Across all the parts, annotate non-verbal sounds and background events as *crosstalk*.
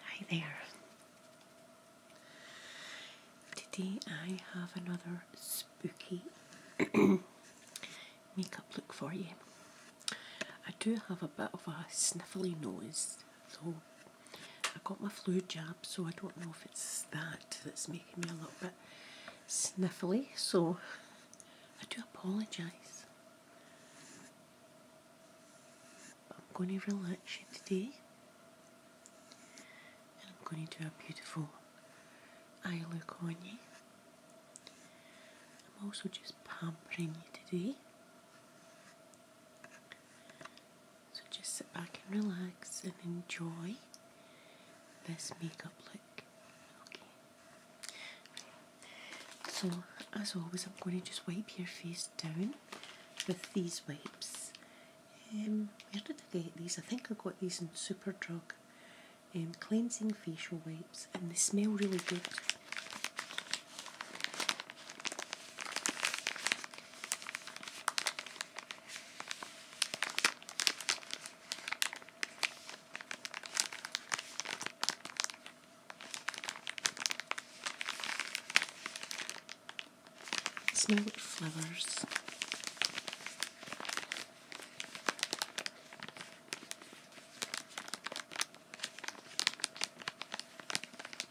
Hi there. Today I have another spooky *clears throat* makeup look for you. I do have a bit of a sniffly nose, so I got my flu jab, so I don't know if it's that that's making me a little bit sniffly, so I do apologise. I'm going to relax you today, and I'm going to do a beautiful eye look on you. I'm also just pampering you today. So just sit back and relax and enjoy this makeup look. Okay. So, as always, I'm going to just wipe your face down with these wipes. Um, where did I get these? I think I got these in Superdrug. Um, cleansing facial wipes, and they smell really good. Smell it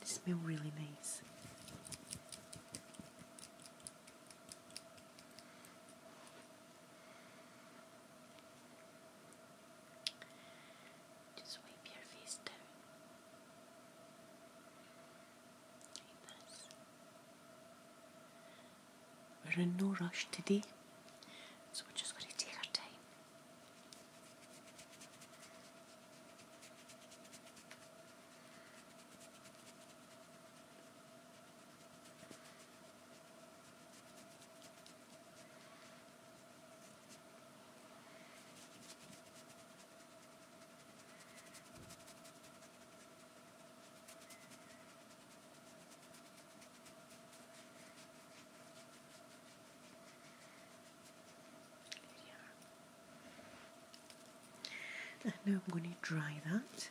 It smells really nice. Just wipe your face down. We're in no rush today, so we're just going to take our time. And now I'm going to dry that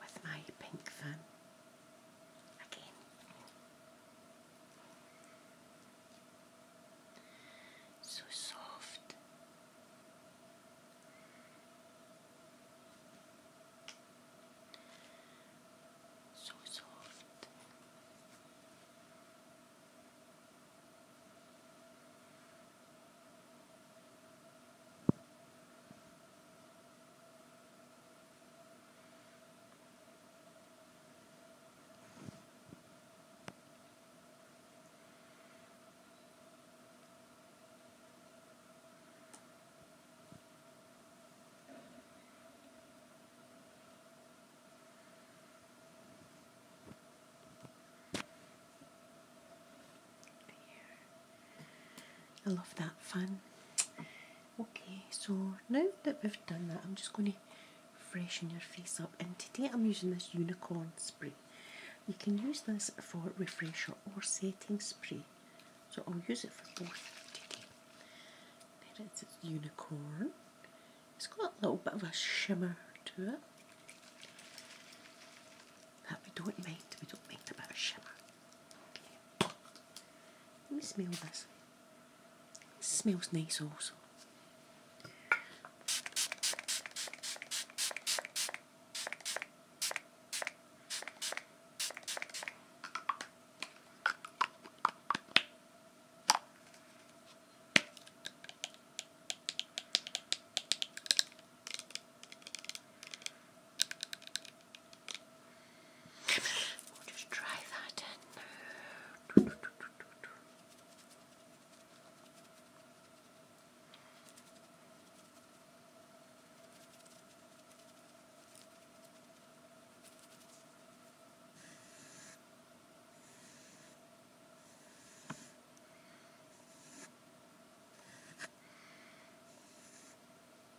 with my pink fan again. So soft. So soft. I love that fan. Okay, so now that we've done that, I'm just going to freshen your face up. And today I'm using this unicorn spray. You can use this for refresher or setting spray. So I'll use it for both today. There it is, unicorn. It's got a little bit of a shimmer to it. But we don't mind, we don't mind a bit of shimmer. Let me smell this. smells nice also. We'll just try that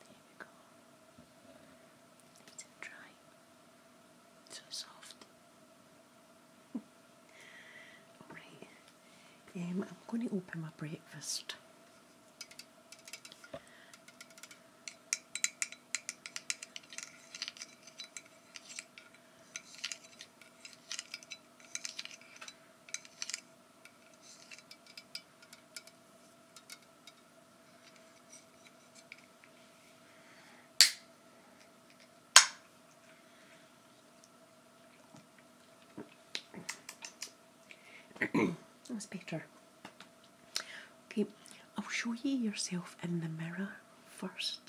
There we go. It's dry. So soft. Alright. Um, I'm going to open my breakfast. That's better. Okay, I'll show you yourself in the mirror first.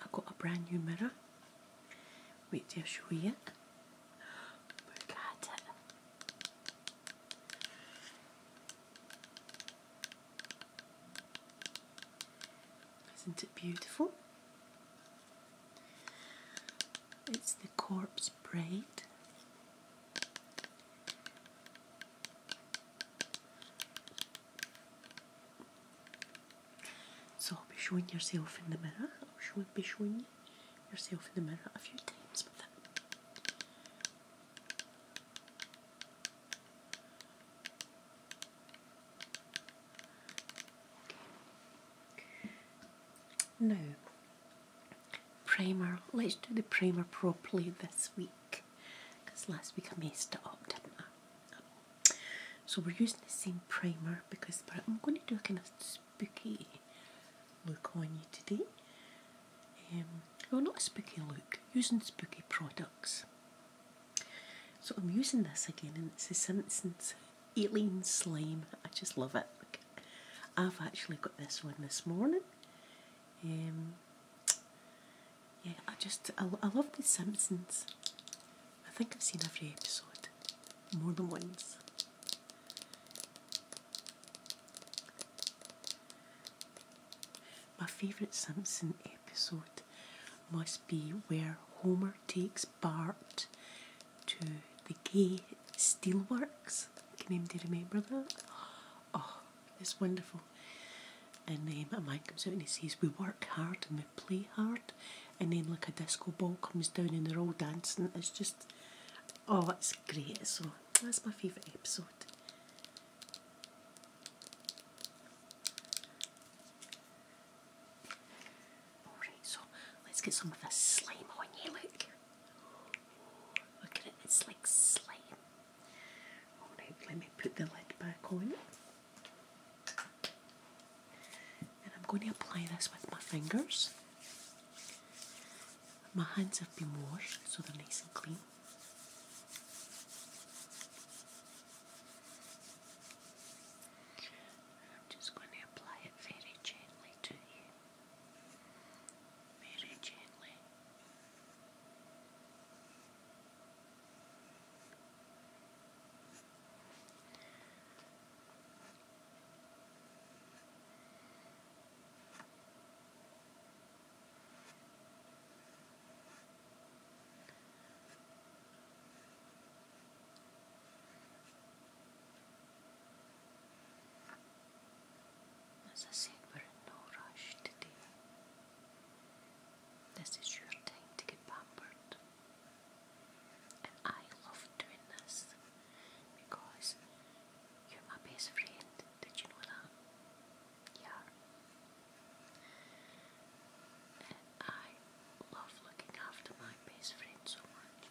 I got a brand new mirror. Wait till I show you Look at it. Isn't it beautiful? It's the corpse braid. So be showing yourself in the mirror, or should be showing yourself in the mirror a few times but it. Okay. primer. Let's do the primer properly this week because last week I messed it up, didn't I? So we're using the same primer because I'm going to do a kind of spooky look on you today. Um, well, not a spooky look, using spooky products. So I'm using this again, and it's the Simpsons Alien Slime. I just love it. I've actually got this one this morning. Um, yeah, I just I, I love The Simpsons. I think I've seen every episode more than once. My favourite Simpson episode must be where Homer takes Bart to the gay steelworks. Can anybody remember that? Oh, it's wonderful. And then um, a man comes out and he says, We work hard and we play hard. And then, like, a disco ball comes down and they're all dancing. It's just, Oh, it's great. So that's my favourite episode. Alright, so let's get some of this slime on you. Look. Look at it, it's like slime. Alright, let me put the lid back on and I'm going to apply this with my fingers. My hands have been washed so they're nice and clean. I'm just going to apply it very gently to you. Very gently. As I said, we're in no rush today. This is your time to get pampered. And I love doing this because you're my best friend. Did you know that? Yeah. I love looking after my best friend so much.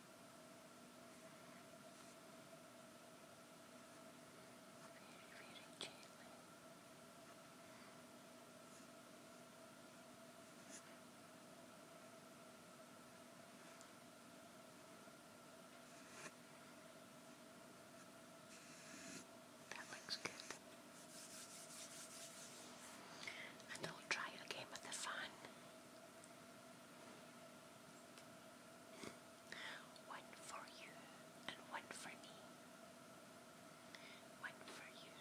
very gently. That looks good. And i try it again with the fan. One for you and one for me. One for you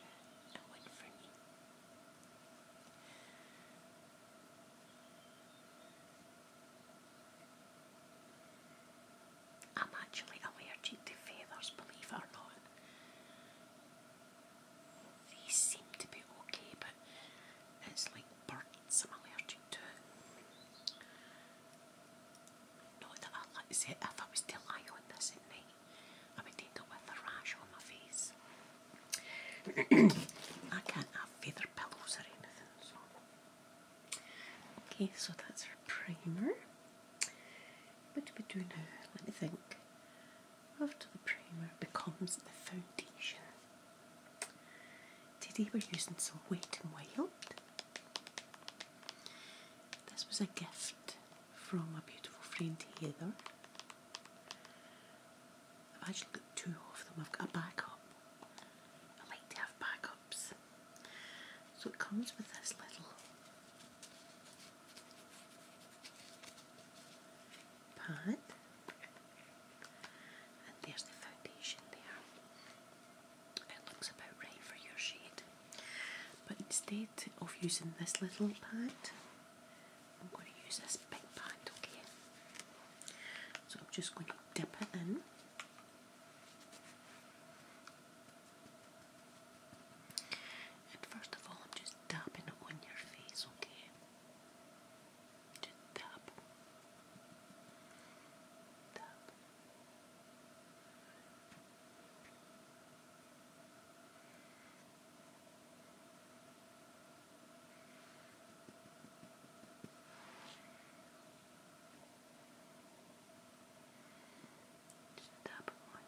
and one for me. I'm actually allergic to feathers, believe it or not. These seem to be okay, but it's like birds I'm allergic to. Not that I like it. If I was to lie on this at night, I would end up with a rash on my face. *clears throat* I can't have feather pillows or anything, so. Okay, so that's our primer. What do we do now? Let me think after the primer becomes the foundation. Today we're using some Wet and Wild. This was a gift from a beautiful friend Heather. I've actually got two of them. I've got a backup. I like to have backups. So it comes with this little pad and there's the foundation there. It looks about right for your shade. But instead of using this little pad, I'm going to use this big pad, okay? So I'm just going to dip it in. And first of all, I'm just dabbing it on your face, okay? Just tap, tap. Just tap one.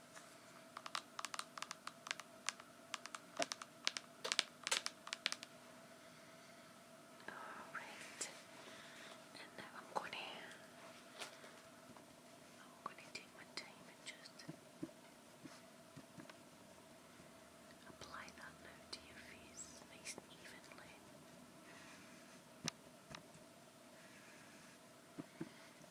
Alright. And now I'm going to I'm going to take my time and just apply that now to your face nice and evenly.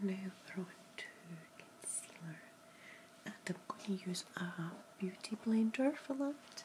Now we're on concealer and I'm going to use a beauty blender for that.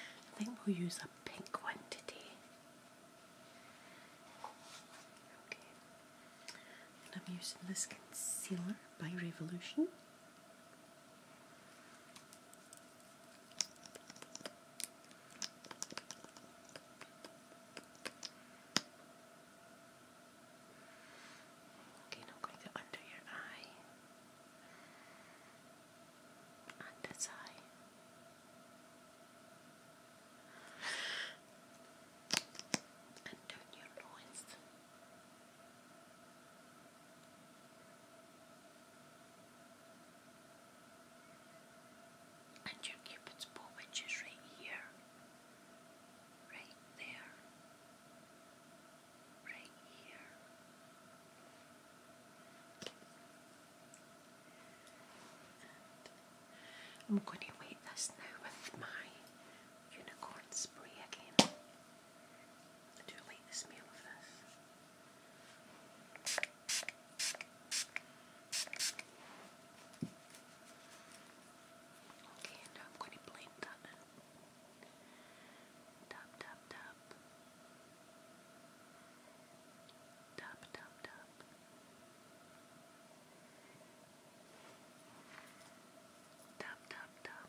I think we'll use a pink one today. Okay. And I'm using this concealer by Revolution. Okay, now going under your eye. On this eye. Under your nose. And your cupid's bow, which is right here, right there, right here. I'm going to wait this now with my unicorn spray again. I do like the smell of this. Okay, and I'm going to blend that in. Tap, tap, tap. Tap, tap, tap. Tap, tap, tap.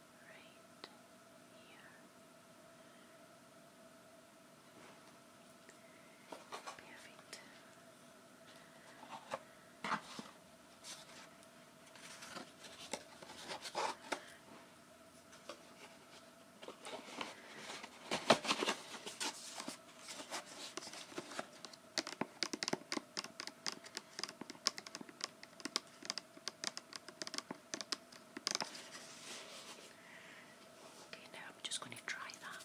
right here. Perfect. Okay, now I'm just going to try that.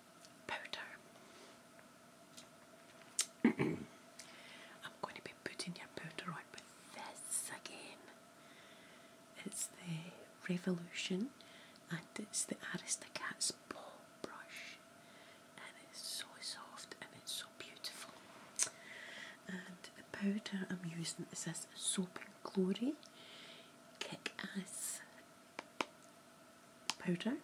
powder. I'm going to be putting your powder on with this again. It's the Revolution and it's the Aristocats Paw Brush and it's so soft and it's so beautiful. And the powder I'm using is this Soap and Glory Kick Ass powder.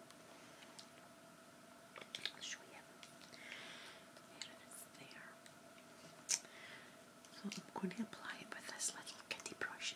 i am going to apply it with this little kitty brush,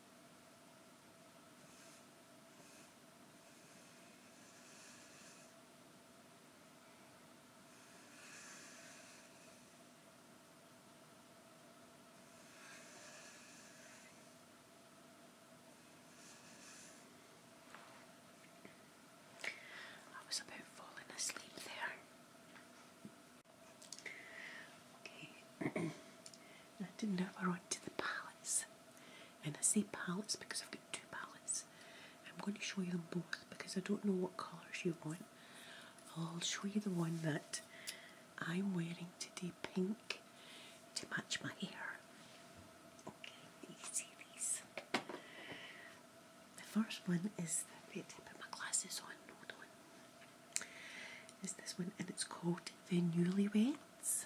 I was about falling asleep there. Okay. *clears throat* I didn't know if I to the palettes. And I say palettes because I've got two palettes. I'm going to show you them both because I don't know what colours you want. I'll show you the one that I'm wearing today, pink, to match my hair. Okay, you see these. The first one is the, wait, I put my glasses on, hold on is this one, and it's called The Newlyweds,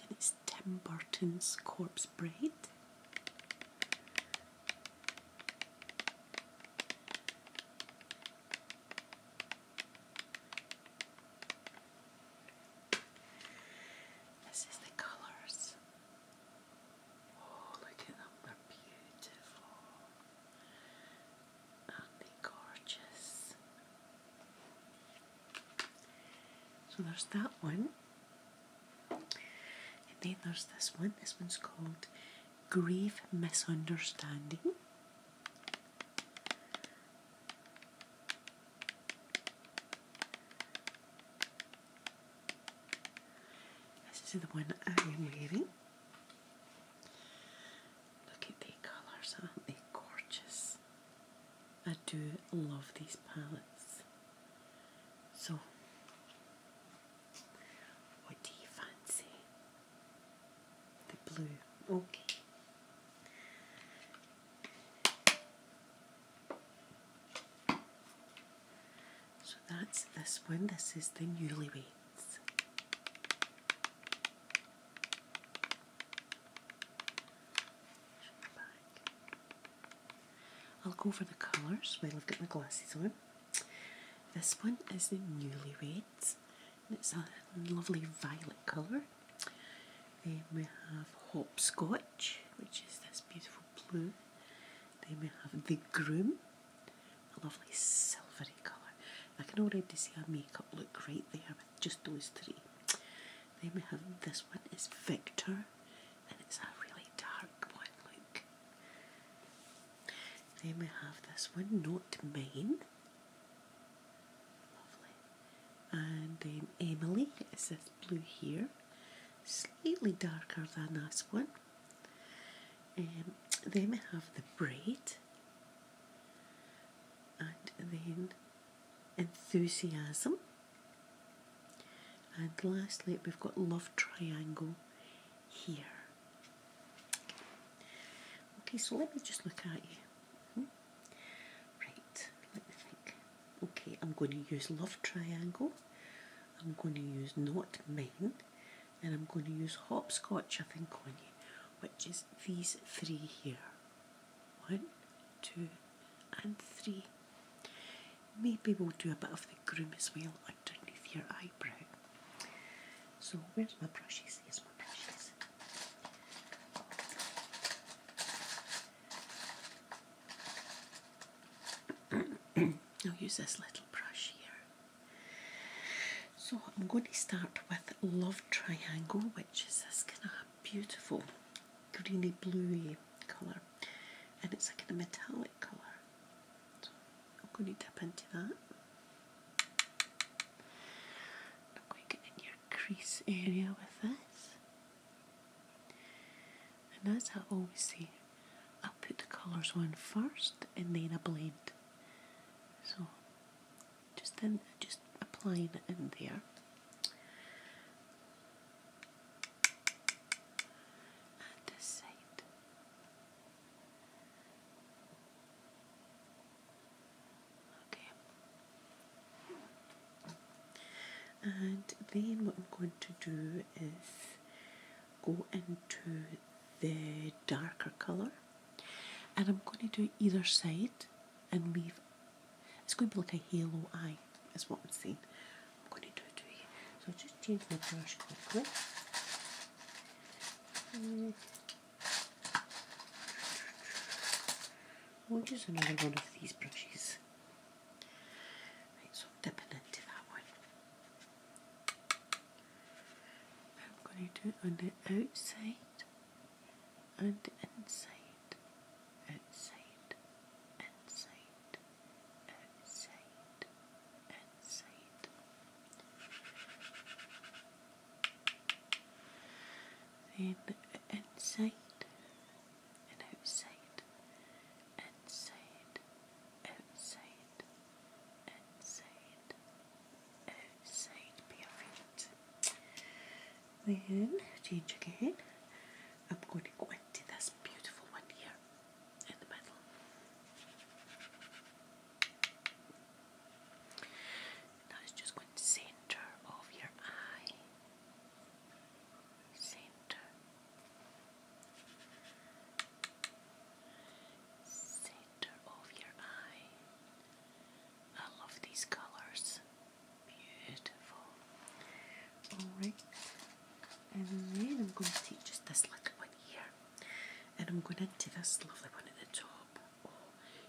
and it's Tim Burton's Corpse Bride. This is the colours. Oh, look at them, beautiful are gorgeous? So there's that one. And then there's this one. This one's called "Grief Misunderstanding. This is the one I am wearing. Look at the colours, aren't they gorgeous? I do love these palettes. So, what do you fancy? The blue, okay. So that's this one. This is the Newlyweds. I'll go for the colours while I've got my glasses on. This one is the Newlyweds, and it's a lovely violet colour. Then we have Hopscotch, which is this beautiful blue. Then we have The Groom, a lovely silvery colour. I can already see our makeup look great there with just those three. Then we have this one, is Victor, and it's a really dark one, look. Then we have this one, Not Mine. Lovely. And then Emily, is this blue here, slightly darker than this one. And um, then we have the braid, and then enthusiasm. And lastly, we've got love triangle here. Okay, so let me just look at you. Hmm? Right, let me think. Okay, I'm going to use love triangle. I'm going to use not main and I'm going to use hopscotch, I think, on you, which is these three here. One, two, and three. Maybe we'll do a bit of the groom as well underneath your eyebrow. So where's my brushes? Here's my brushes. *coughs* I'll use this little brush here. So I'm going to start with Love Triangle, which is this kind of beautiful greeny bluey colour, and it's like a metallic colour. I'm going to dip into that. I'm going to get in your crease area with this. And as I always say, i put the colours on first and then I blend. So just then just applying it in there and this side okay and then what I'm going to do is go into the darker colour and I'm going to do either side and leave. It's going to be like a halo eye, is what I'm saying. I'm going to do it to you. So i just change my brush quickly. We'll hmm. oh, use another one of these brushes. Right, so dipping into that one. I'm going to do it on the outside and inside, outside, inside, outside, inside. Then inside and outside, inside, outside, inside, outside, perfect. Then change again. I'm going to go into this beautiful one here in the middle. Now just going to centre of your eye. Centre center of your eye. I love these colors. Beautiful. Alright, and then I'm going to take just this little one here and I'm going into this lovely one at the top. Oh,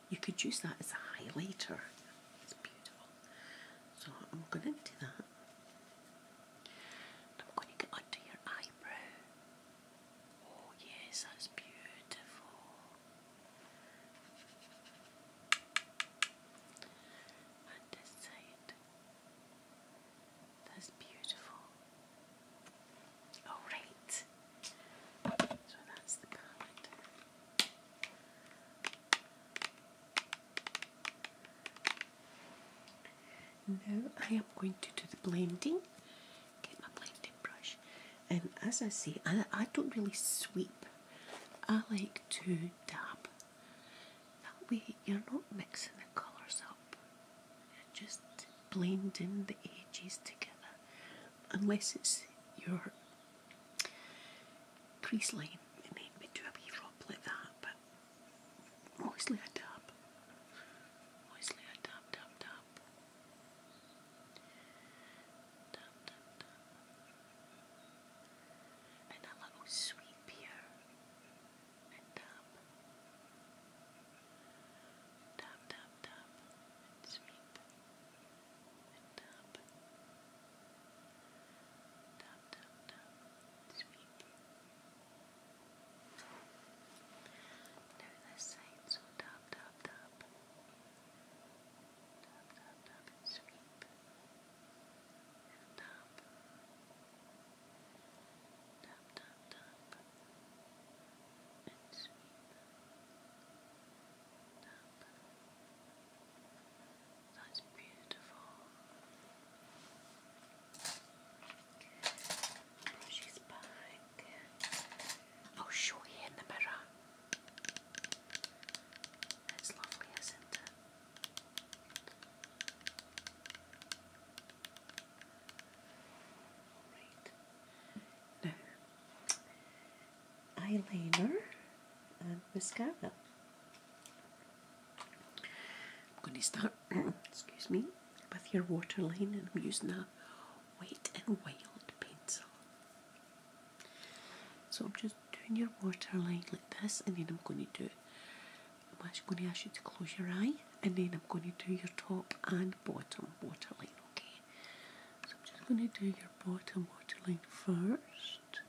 you could use that as a highlighter, it's beautiful. So I'm going into that. I'm going to get under your eyebrow Oh, yes, that's beautiful. And this side. That's beautiful. Alright. So that's the palette. Now I am going to do the blending get my blending brush, and as I say, I, I don't really sweep, I like to dab. That way, you're not mixing the colours up, you're just blending the edges together, unless it's your crease line, you then we do a wee rub like that, but mostly a dab. Mostly a dab, dab, dab up. Dun, And a little sweep here. And up. Tap, tap, tap. And sweep. And tap. Tap, tap, tap. Now this side, so tap, tap, tap. Tap, tap, tap, and sweep. And tap. Tap, tap, tap. And sweep. Tap. That's beautiful brush i show you in the mirror. It's lovely, isn't it? eyeliner and mascara. am going to start, *clears throat* excuse me, with your waterline, and I'm using that white and wild pencil. So I'm just doing your waterline like this and then I'm going to do, I'm actually going to ask you to close your eye and then I'm going to do your top and bottom waterline, okay? So I'm just going to do your bottom waterline first.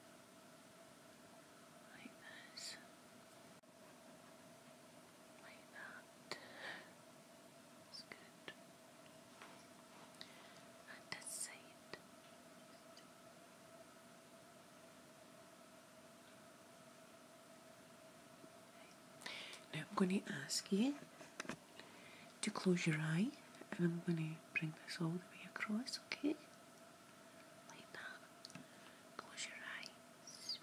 Like this like that. It's good. And this side. Now I'm going to ask you to close your eye and I'm going to bring this all the way across, okay? Like that. Close your eyes.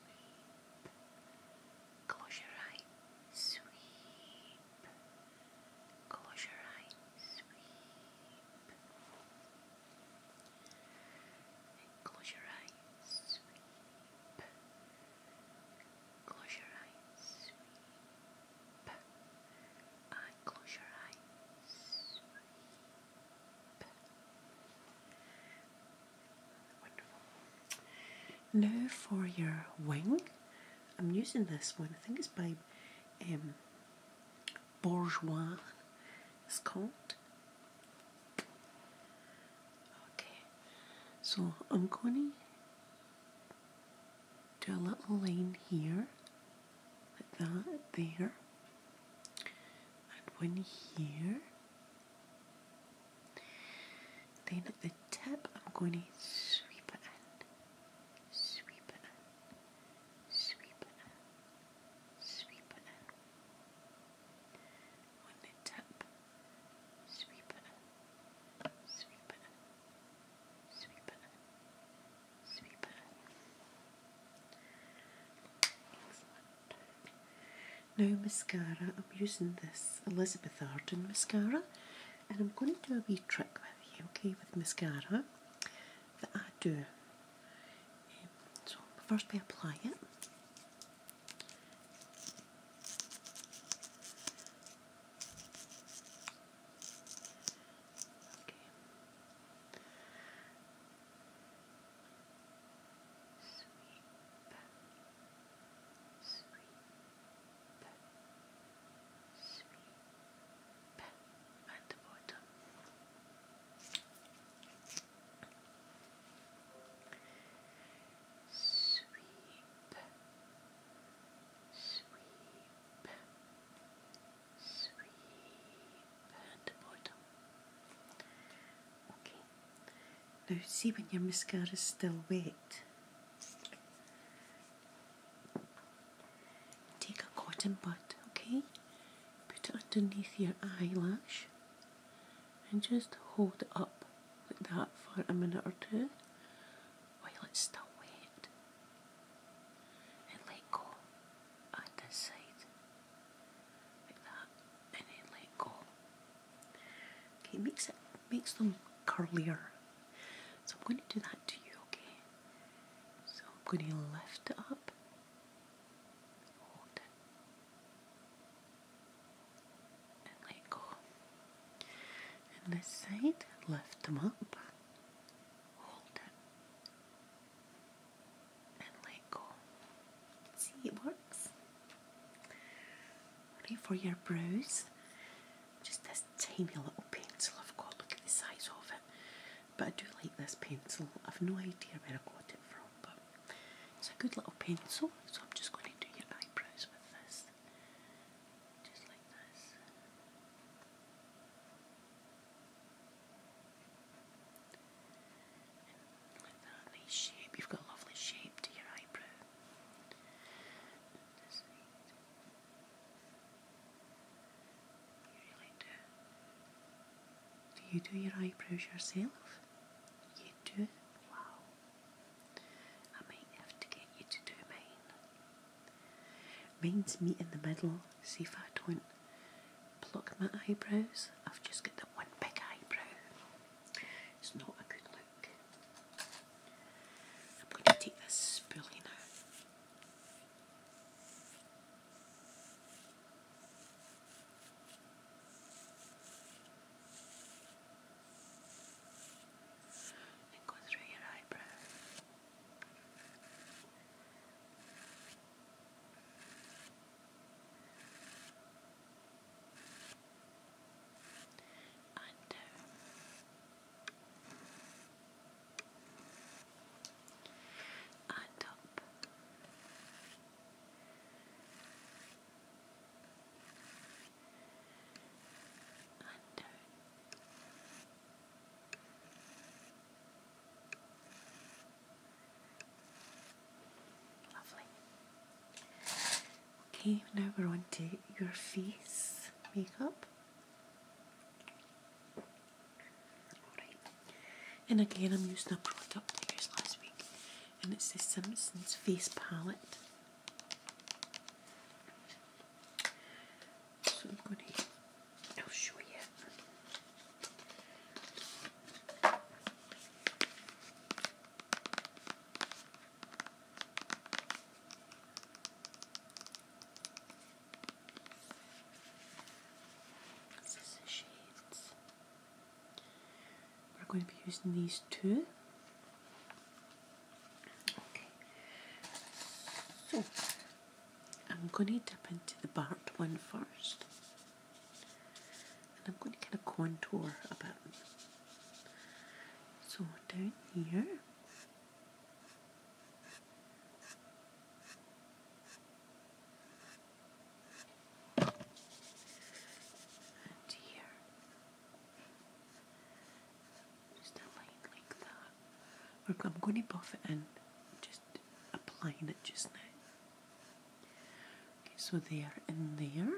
Close your eyes, sweep. Close your eyes, sweep. close your eyes, sweep. Close your eyes, sweep. And close your eyes, Wonderful. Now for your wing, I'm using this one. I think it's by um, Bourgeois. It's called. Okay, so I'm going to do a little line here, like that there, and one here. Then at the tip, I'm going to sweep it in, sweep it sweep it sweep it in. On sweep it sweep it sweep it sweep it Excellent. Now mascara, I'm using this Elizabeth Arden mascara and I'm going to do a wee trick with you, okay, with mascara that I do. Um, so first we apply it sweep, sweep at the bottom. Sweep, sweep, sweep at the bottom. Okay. Now see when your mascara is still wet. Take a cotton bud, okay? Put it underneath your eyelash and just hold it up like that for a minute or two while it's still wet. And let go on this side like that and then let go Okay, it makes it makes them curlier. So I'm going to do that to you, okay? So I'm going to lift it up. Hold it. And let go. And this side, lift them up. Hold it. And let go. See, it works. Right, for your brows, just this tiny little pencil I've got. Look at the size of it. But I do like this pencil. I've no idea where I got it from, but it's a good little pencil. So I'm just going to do your eyebrows with this. Just like this. And shape. You've got a lovely shape to your eyebrow do. you do your eyebrows yourself? You do? Wow. I might have to get you to do mine. Mine's meet in the middle. See if I don't pluck my eyebrows. I've just got that one big eyebrow. It's not a good look. I'm going to take this spoolie now. And go through your eyebrow under on top under Lovely. Okay, now we're on to your face makeup. And again, I'm using a product I used last week, and it's the Simpsons Face Palette. So I'm going to, show you Scissor shades. We're going to be using these two. Okay. So I'm going to dip into the Bart one first. I'm going to kind of contour about me. So down here, and here, just a line like that. I'm going to buff it in, just applying it just now. Okay, so there and there.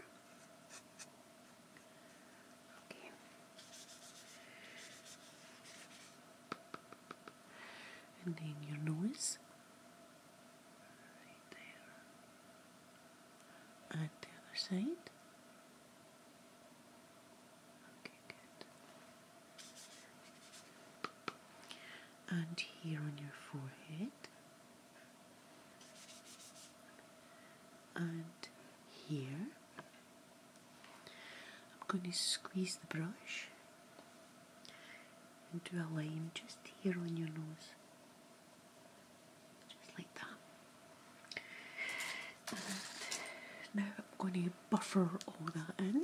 Okay. And then your nose. Right there. And the other side. Okay, good. And here on your forehead and here. I'm going to squeeze the brush and do a line just here on your nose, just like that. now I'm going to buffer all that in.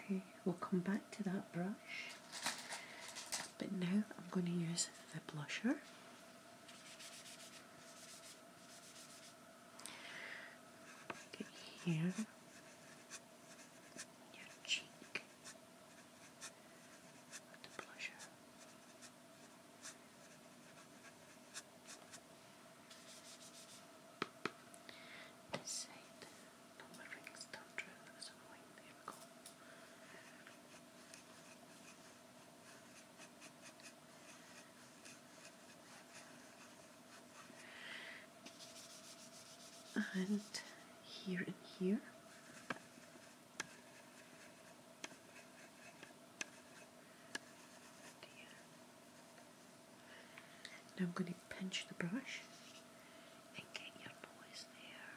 Okay, we'll come back to that brush, but now I'm going to use the blusher. Get here your cheek with the blusher. This side, no, my ring's not true, there's a point, and here and here. Now I'm going to pinch the brush and get your noise there.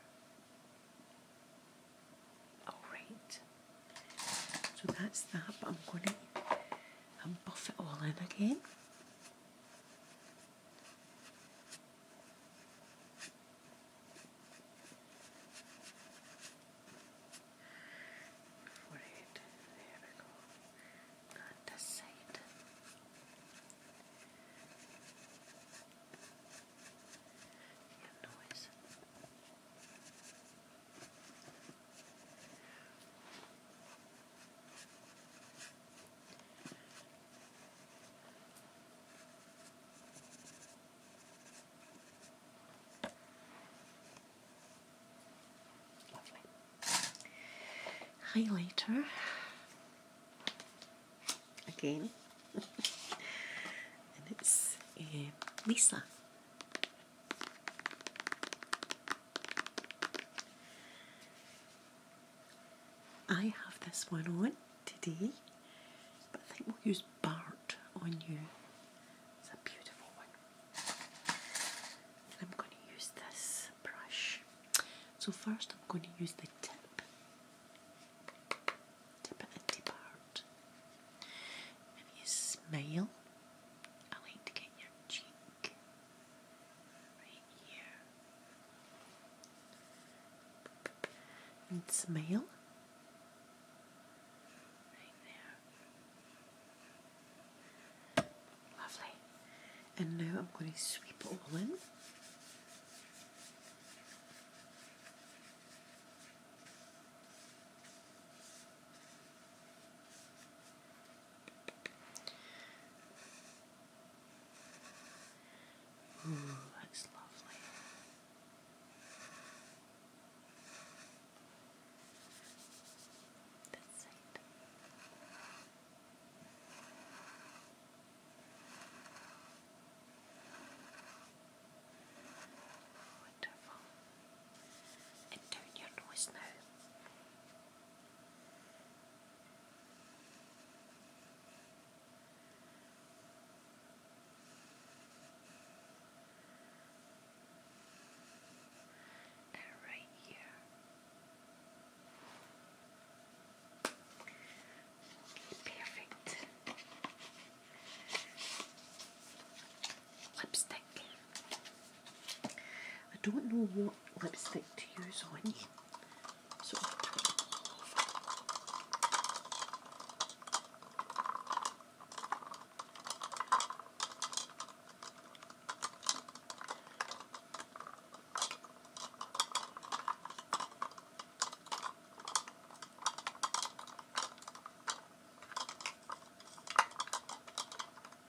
Alright. So that's that, but I'm going to um, buff it all in again. Forty-eight. There we go. Not the side. Your noise. Highlighter. Again. *laughs* and it's uh, Lisa. I have this one on today, but I think we'll use Bart on you. It's a beautiful one. I'm going to use this brush. So first I'm going to use the tip. Tip it into Bart. If you smile, I like to get your cheek right here. And Lovely. And now I'm going to sweep all in. Ooh, that's lovely. That's And down your nose now and right here. Perfect. Lipstick. I don't know what lipstick to use on you,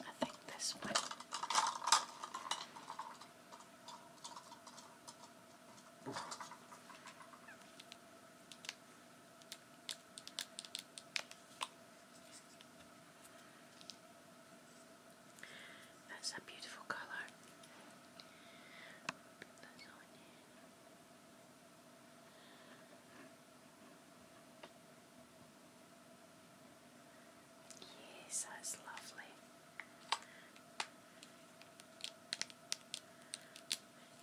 I think this one. That's a beautiful colour. That's all I need. Yes, that's lovely.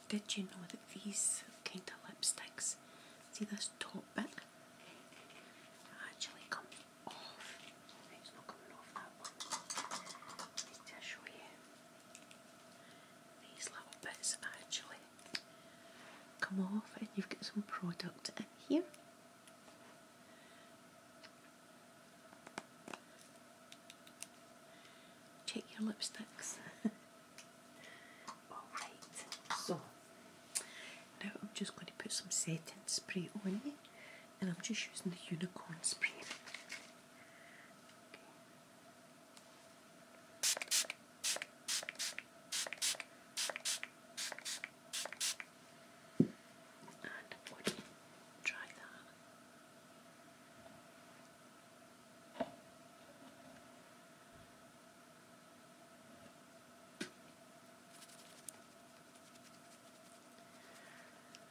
Did you know that these kind of lipsticks, see this top bit, actually comes off? It's not show you. These little bits actually come off, and you've got some product in here. Check your lipsticks. *laughs* Alright, so now I'm just going to put some setting spray on it, and I'm just using the unicorn spray. And you try that?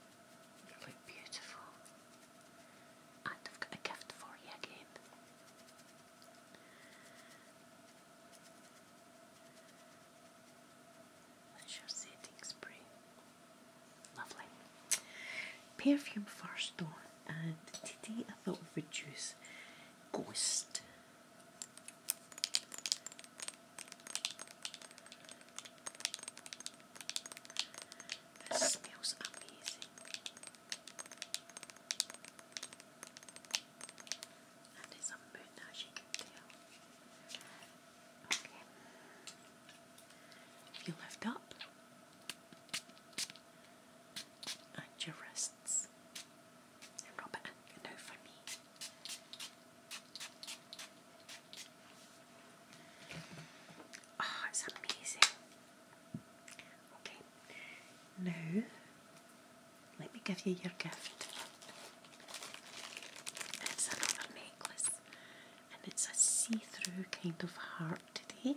They look beautiful. And I've got a gift for you again. That's your setting spray. Lovely. Perfume first on, and today I thought we would use Ghost. This smells amazing. And it's a moon as you can tell. Okay. You lift up and your wrists and rub it in. And Oh, it's amazing. Okay, now let me give you your gift. It's another necklace and it's a see through kind of heart today.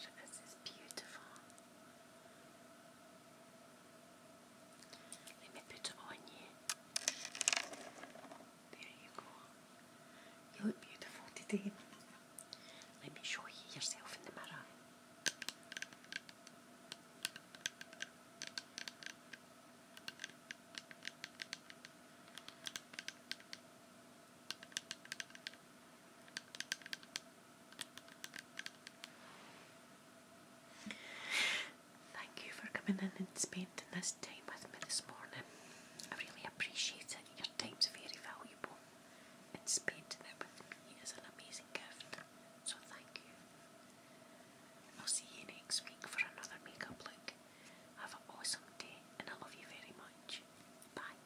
This is beautiful. Let me put it on you. There you go. You look beautiful today. Let me show you yourself in the mirror. Thank you for coming in and spending this time with me this morning. I really appreciate it. Your time is very valuable, and spending it with me is an amazing gift. So, thank you. I'll see you next week for another makeup look. Have an awesome day, and I love you very much. Bye.